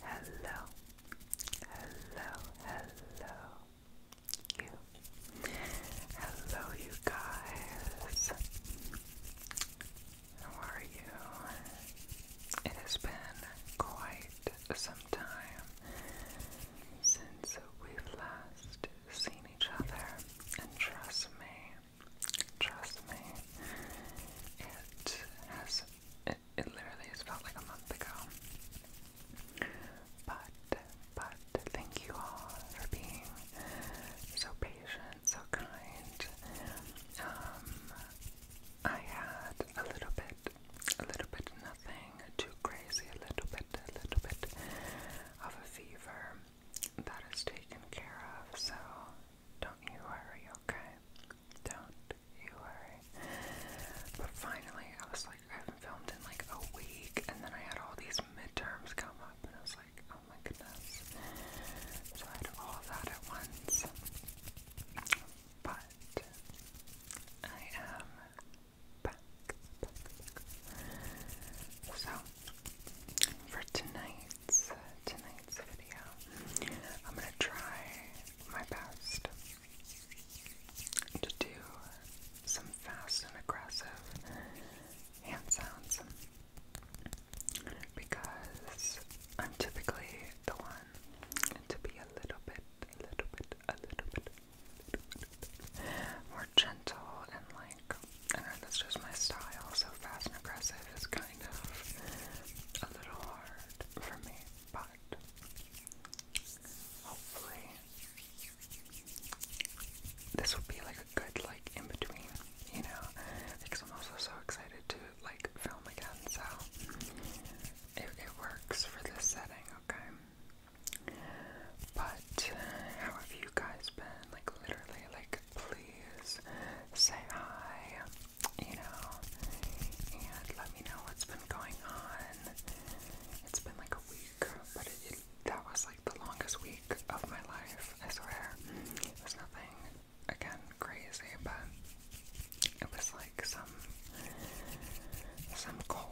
Hello, hello, hello, you. Hello, you guys. How are you? It has been quite some time since we last seen each other, and trust me, trust me, it has, it, it literally has felt like a month ago. But, but thank you all for being so patient, so kind. Um, I had a little bit, a little bit nothing too crazy, a little bit, a little bit of a fever. That is taken care of, so don't you worry, okay? Don't you worry. But finally, I was like, I haven't filmed in like a week, and then I had all these midterms come up, and I was like, oh my goodness. So I had all that at once. But I am so, for tonight's tonight's video, I'm gonna try my best to do some fast and aggressive hand sounds because I'm typically the one to be a little bit, a little bit, a little bit more gentle and like I that's just my style, so fast and aggressive is kind of a little hard for me, but hopefully this will be like a good like in between, you know, because I'm also so excited to like film again, so it, it works for this setting, okay? But how have you guys been? Like literally, like please say hi, you know, and let me know what's been going on. It's been like a week, but that was like the longest week of my life. I swear, it was nothing again crazy, but it was like some some goal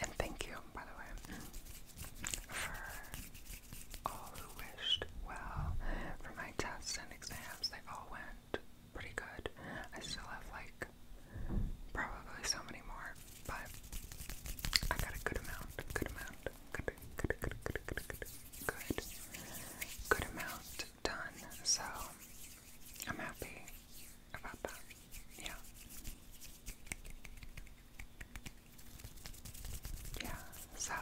And thank you, by the way, for all who wished well for my tests and exams. They all went pretty good. I still have like probably so many more, but I got a good amount, good amount, good, good, good, good, good, good, good, amount done. So I'm happy about that. Yeah. Yeah, so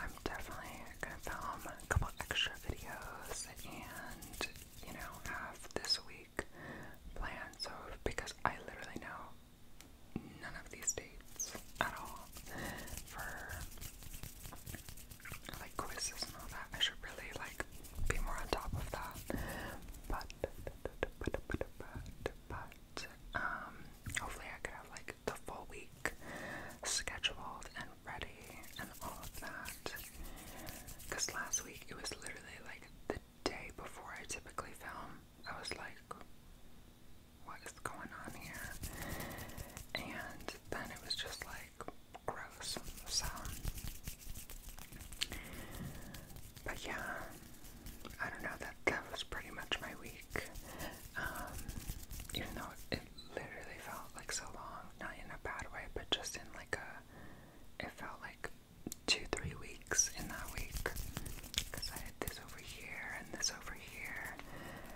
I'm definitely gonna film a couple extra videos and you know have this week planned so because I literally know none of these dates at all for like quizzes and all that. I should really like be more on top of that. But but, but, but, but, um, hopefully I could have like the full week scheduled and ready and all of that. Because last week it was literally like the day before I typically film. I was like, what is going on here? And then it was just like gross. So but yeah, I don't know, that, that was pretty much my week. Um, even though it, literally felt like so long, not in a bad way, but just in like a, it felt like two, three weeks in that week. Because I had this over here, and this over here,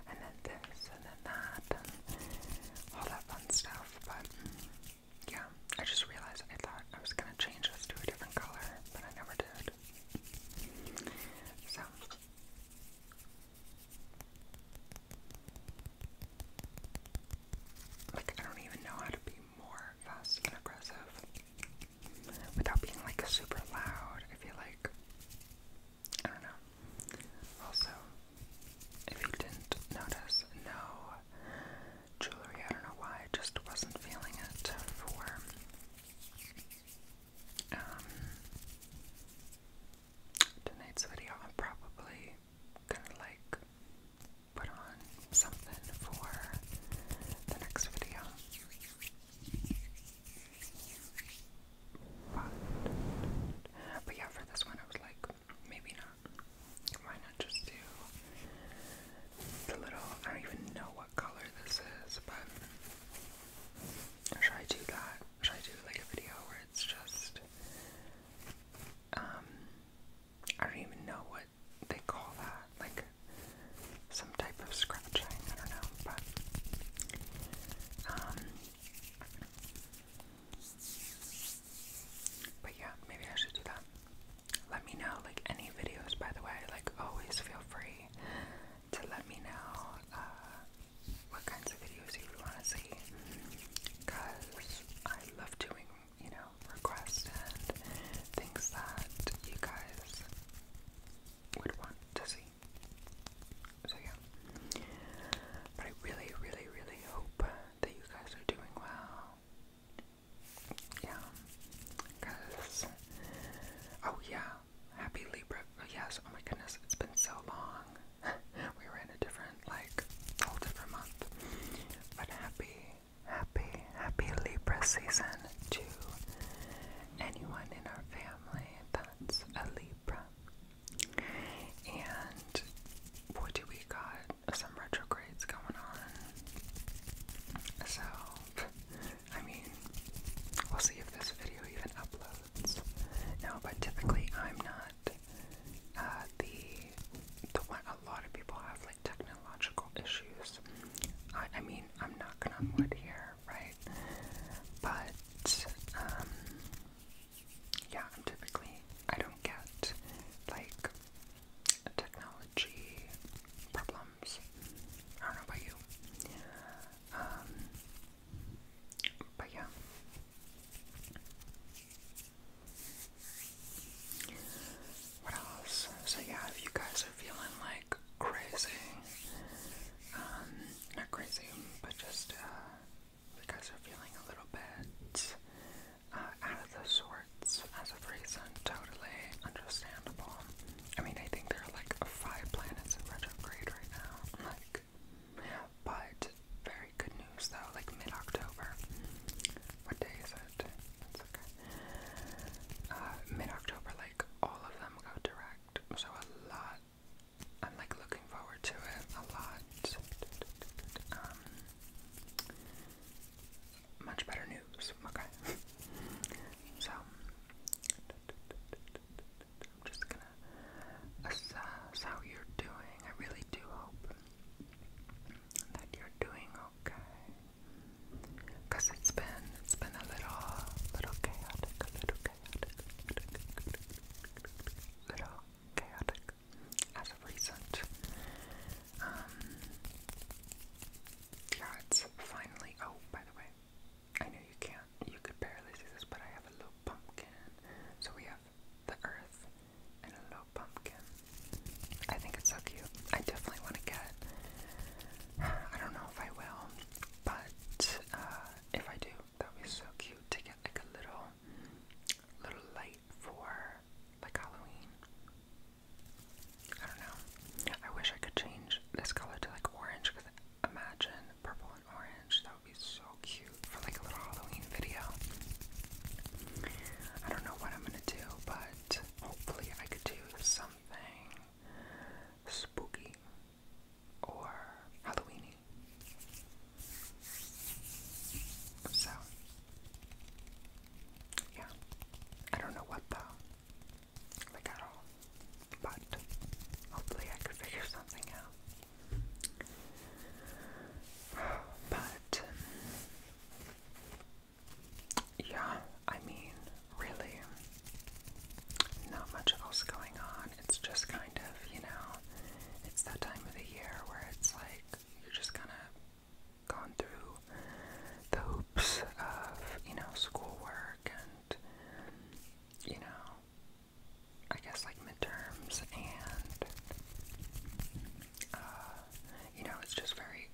and then this, and then that, all that fun stuff. But yeah, I just realized I thought I was gonna change this to a different color, but I never did. So. Like, I don't even know how to be more fast and aggressive without being like super loud. I feel like. I don't know. Also, if you didn't notice, no jewelry. I don't know why, I just wasn't feeling it for um, tonight's video. I'm probably gonna like put on something for the next video. but yeah, for this one, I was like, maybe not. Why not just do the little, I don't even know what color this is, but should I do that? Should I do like a video where it's just, um, I don't even know what they call that, like some type of scratching, I don't know, but, um, but yeah, maybe I should do that let me know like any videos by the way like always feel free to let me know uh, what kinds of videos you want to see because I love doing you know requests and things that you guys would want to see so yeah but I really really really hope that you guys are doing well yeah. Cause oh yeah. Happy Libra oh, yes, oh my goodness, it's been so long. we were in a different like whole different month. But happy, happy, happy Libra season to anyone in our family that's a Libra. And what do we got? some retrogrades going on. So, I mean, we'll see if this video even uploads. No, but typically I'm not uh, the the one. A lot of people have like technological issues. I, I mean, I'm not gonna wood here, right? But um, yeah, typically I don't get like technology problems. I don't know about you. Um, but yeah. What else? So yeah, if you guys are feeling like crazy, um, not crazy, but just uh, you guys are feeling a little bit uh, out of the sorts as of recent. Totally understandable. I mean, I think there are like five planets in retrograde right now. Like, but very good news though. Like mid October. What day is it? It's okay. Uh, mid October, like all of them go direct. So a lot. I'm like looking forward to it a lot. Um, much better news. Okay. so, I'm just gonna assess how you're doing. I really do hope that you're doing okay. Cause it's been it's been a little little chaotic, a little chaotic, little chaotic, as of recent. Um, yeah, it's finally. Oh, by the way, I know you can't. You could barely see this, but I have a little pumpkin. So we have the earth and a little pumpkin. I think it's so cute. I definitely want to get. I don't know if I will, but uh, if I do, that would be so cute to get like a little a little light for like Halloween. I don't know. I wish I could change this color to like orange because imagine purple and orange. That would be so cute for like a little Halloween video. I don't know what I'm gonna do, but hopefully I could do something spooky or Halloweeny. So yeah. I don't know what though. Like at all. But hopefully I could figure something out. But yeah, I mean, really not much else going on. It's just kind of, you know, it's that time of the year where it's like you're just kind of gone through the hoops of, you know, schoolwork and, you know, I guess like midterms and, uh, you know, it's just very,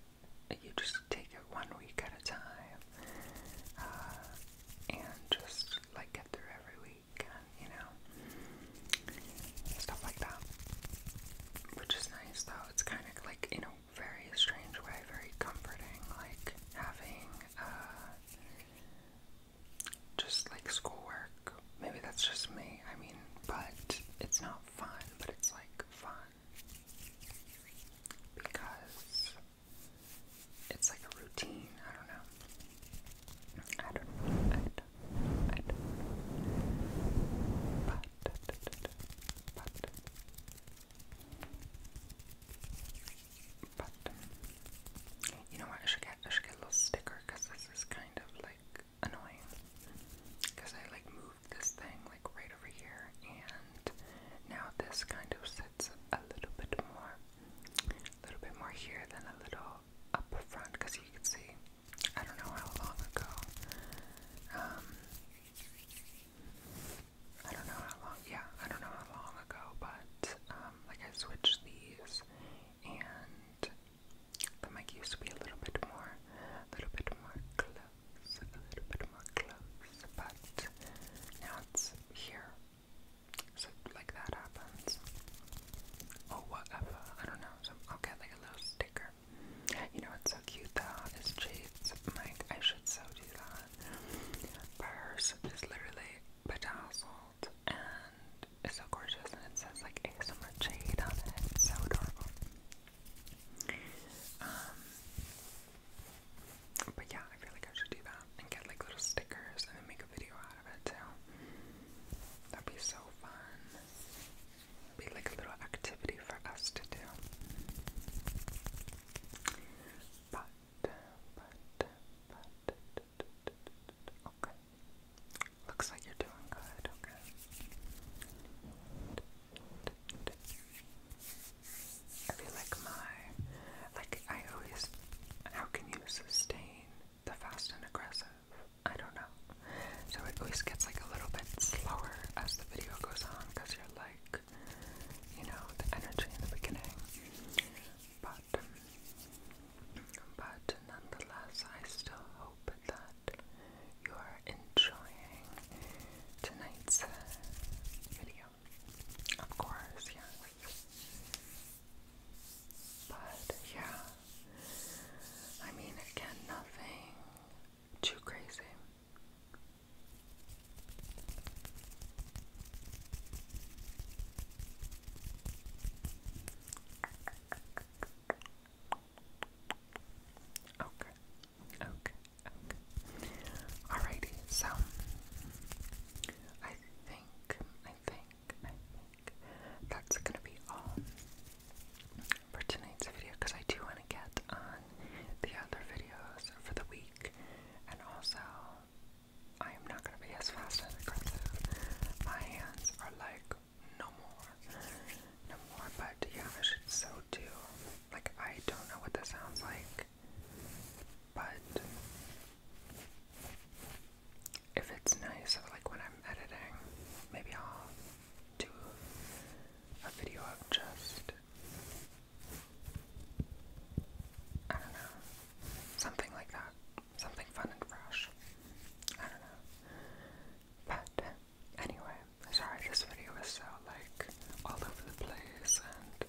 you just take it one week at a time, uh, and just like get through every week, and, you know, Stuff like that. Which is nice though. It's kind of like, you know, very strange way, very comforting, like having uh, just like schoolwork. Maybe that's just me, I mean, but it's not fun, but it's like fun because it's like a routine. I don't know. I don't but you know what? I should get I should get a little sticker because this is kind of like annoying. Because I like moved this thing like right over here, and now this kind of sits a little bit more, a little bit more here than a little up front because you can see. I don't know how long ago. Um, I don't know how long. Yeah, I don't know how long ago, but um, like I switched these, and the mic used to be a little bit more, a little bit more close, a little bit more close, but now it's here. So like that happens. Oh whatever. I don't I'll get like a little sticker. You know what's so cute though is Jade's mic. I should so do that. But hers is literally bedazzled and it's so gorgeous and it says like ASMR Jade on it. It's so adorable. Um, but yeah, I feel like I should do that and get like little stickers and then make a video out of it too. That'd be so fun be like a little activity for us to do. But, but, but, okay. Looks like you're doing good, okay. I feel like my, like I always, how can you sustain the fast and aggressive. I don't know. So it always gets like a little bit slower as the video goes on because you're like, you know, the energy in the beginning. But, um, but nonetheless, I still hope that you are enjoying tonight's uh, video. Of course, yes. But yeah, I mean, again, nothing too crazy. Okay, okay, okay. Alrighty, so I think, I think, I think, that's gonna be all for tonight's video because I do want to get on the other videos for the week, and also I am not gonna be as fast and aggressive. My hands are like no more, no more. But yeah, I should so do. Like I don't know what this sounds like, but if it's nice, like when I'm editing, maybe I'll do a video of just, I don't know, something like that. Something fun and fresh. I don't know. But anyway, sorry this video is so like all over the place and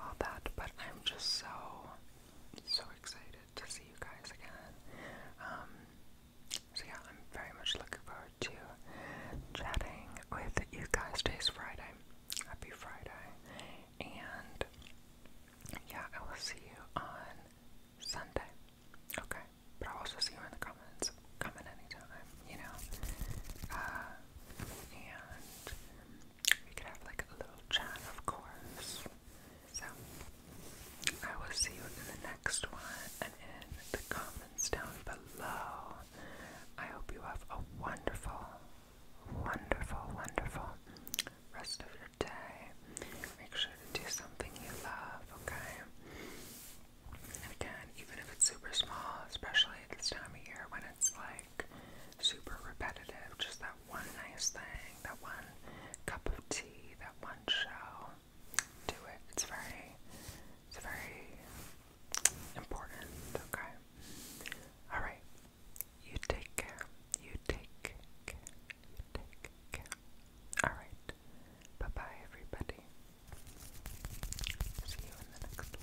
all that, but I'm just so, so excited to see you guys again. Um, so yeah, I'm very much looking forward to chatting with you guys. Today's Friday. Happy Friday. And yeah, I will see you on Sunday. Okay. But I'll also see you in the comments. Comment anytime, you know. Uh, and we could have like a little chat of course. So, I will see you in the next one and in the comments down below. I hope you have a wonderful, wonderful, wonderful rest of your day. Make sure to do something you love, okay? again, even if it's super small, especially at this time of year when it's like super repetitive, just that one nice thing, that one cup of tea, that one show. Do it. It's very, it's very important. Okay. All right. You take care. You take care. take care. All right. Bye bye, everybody. See you in the next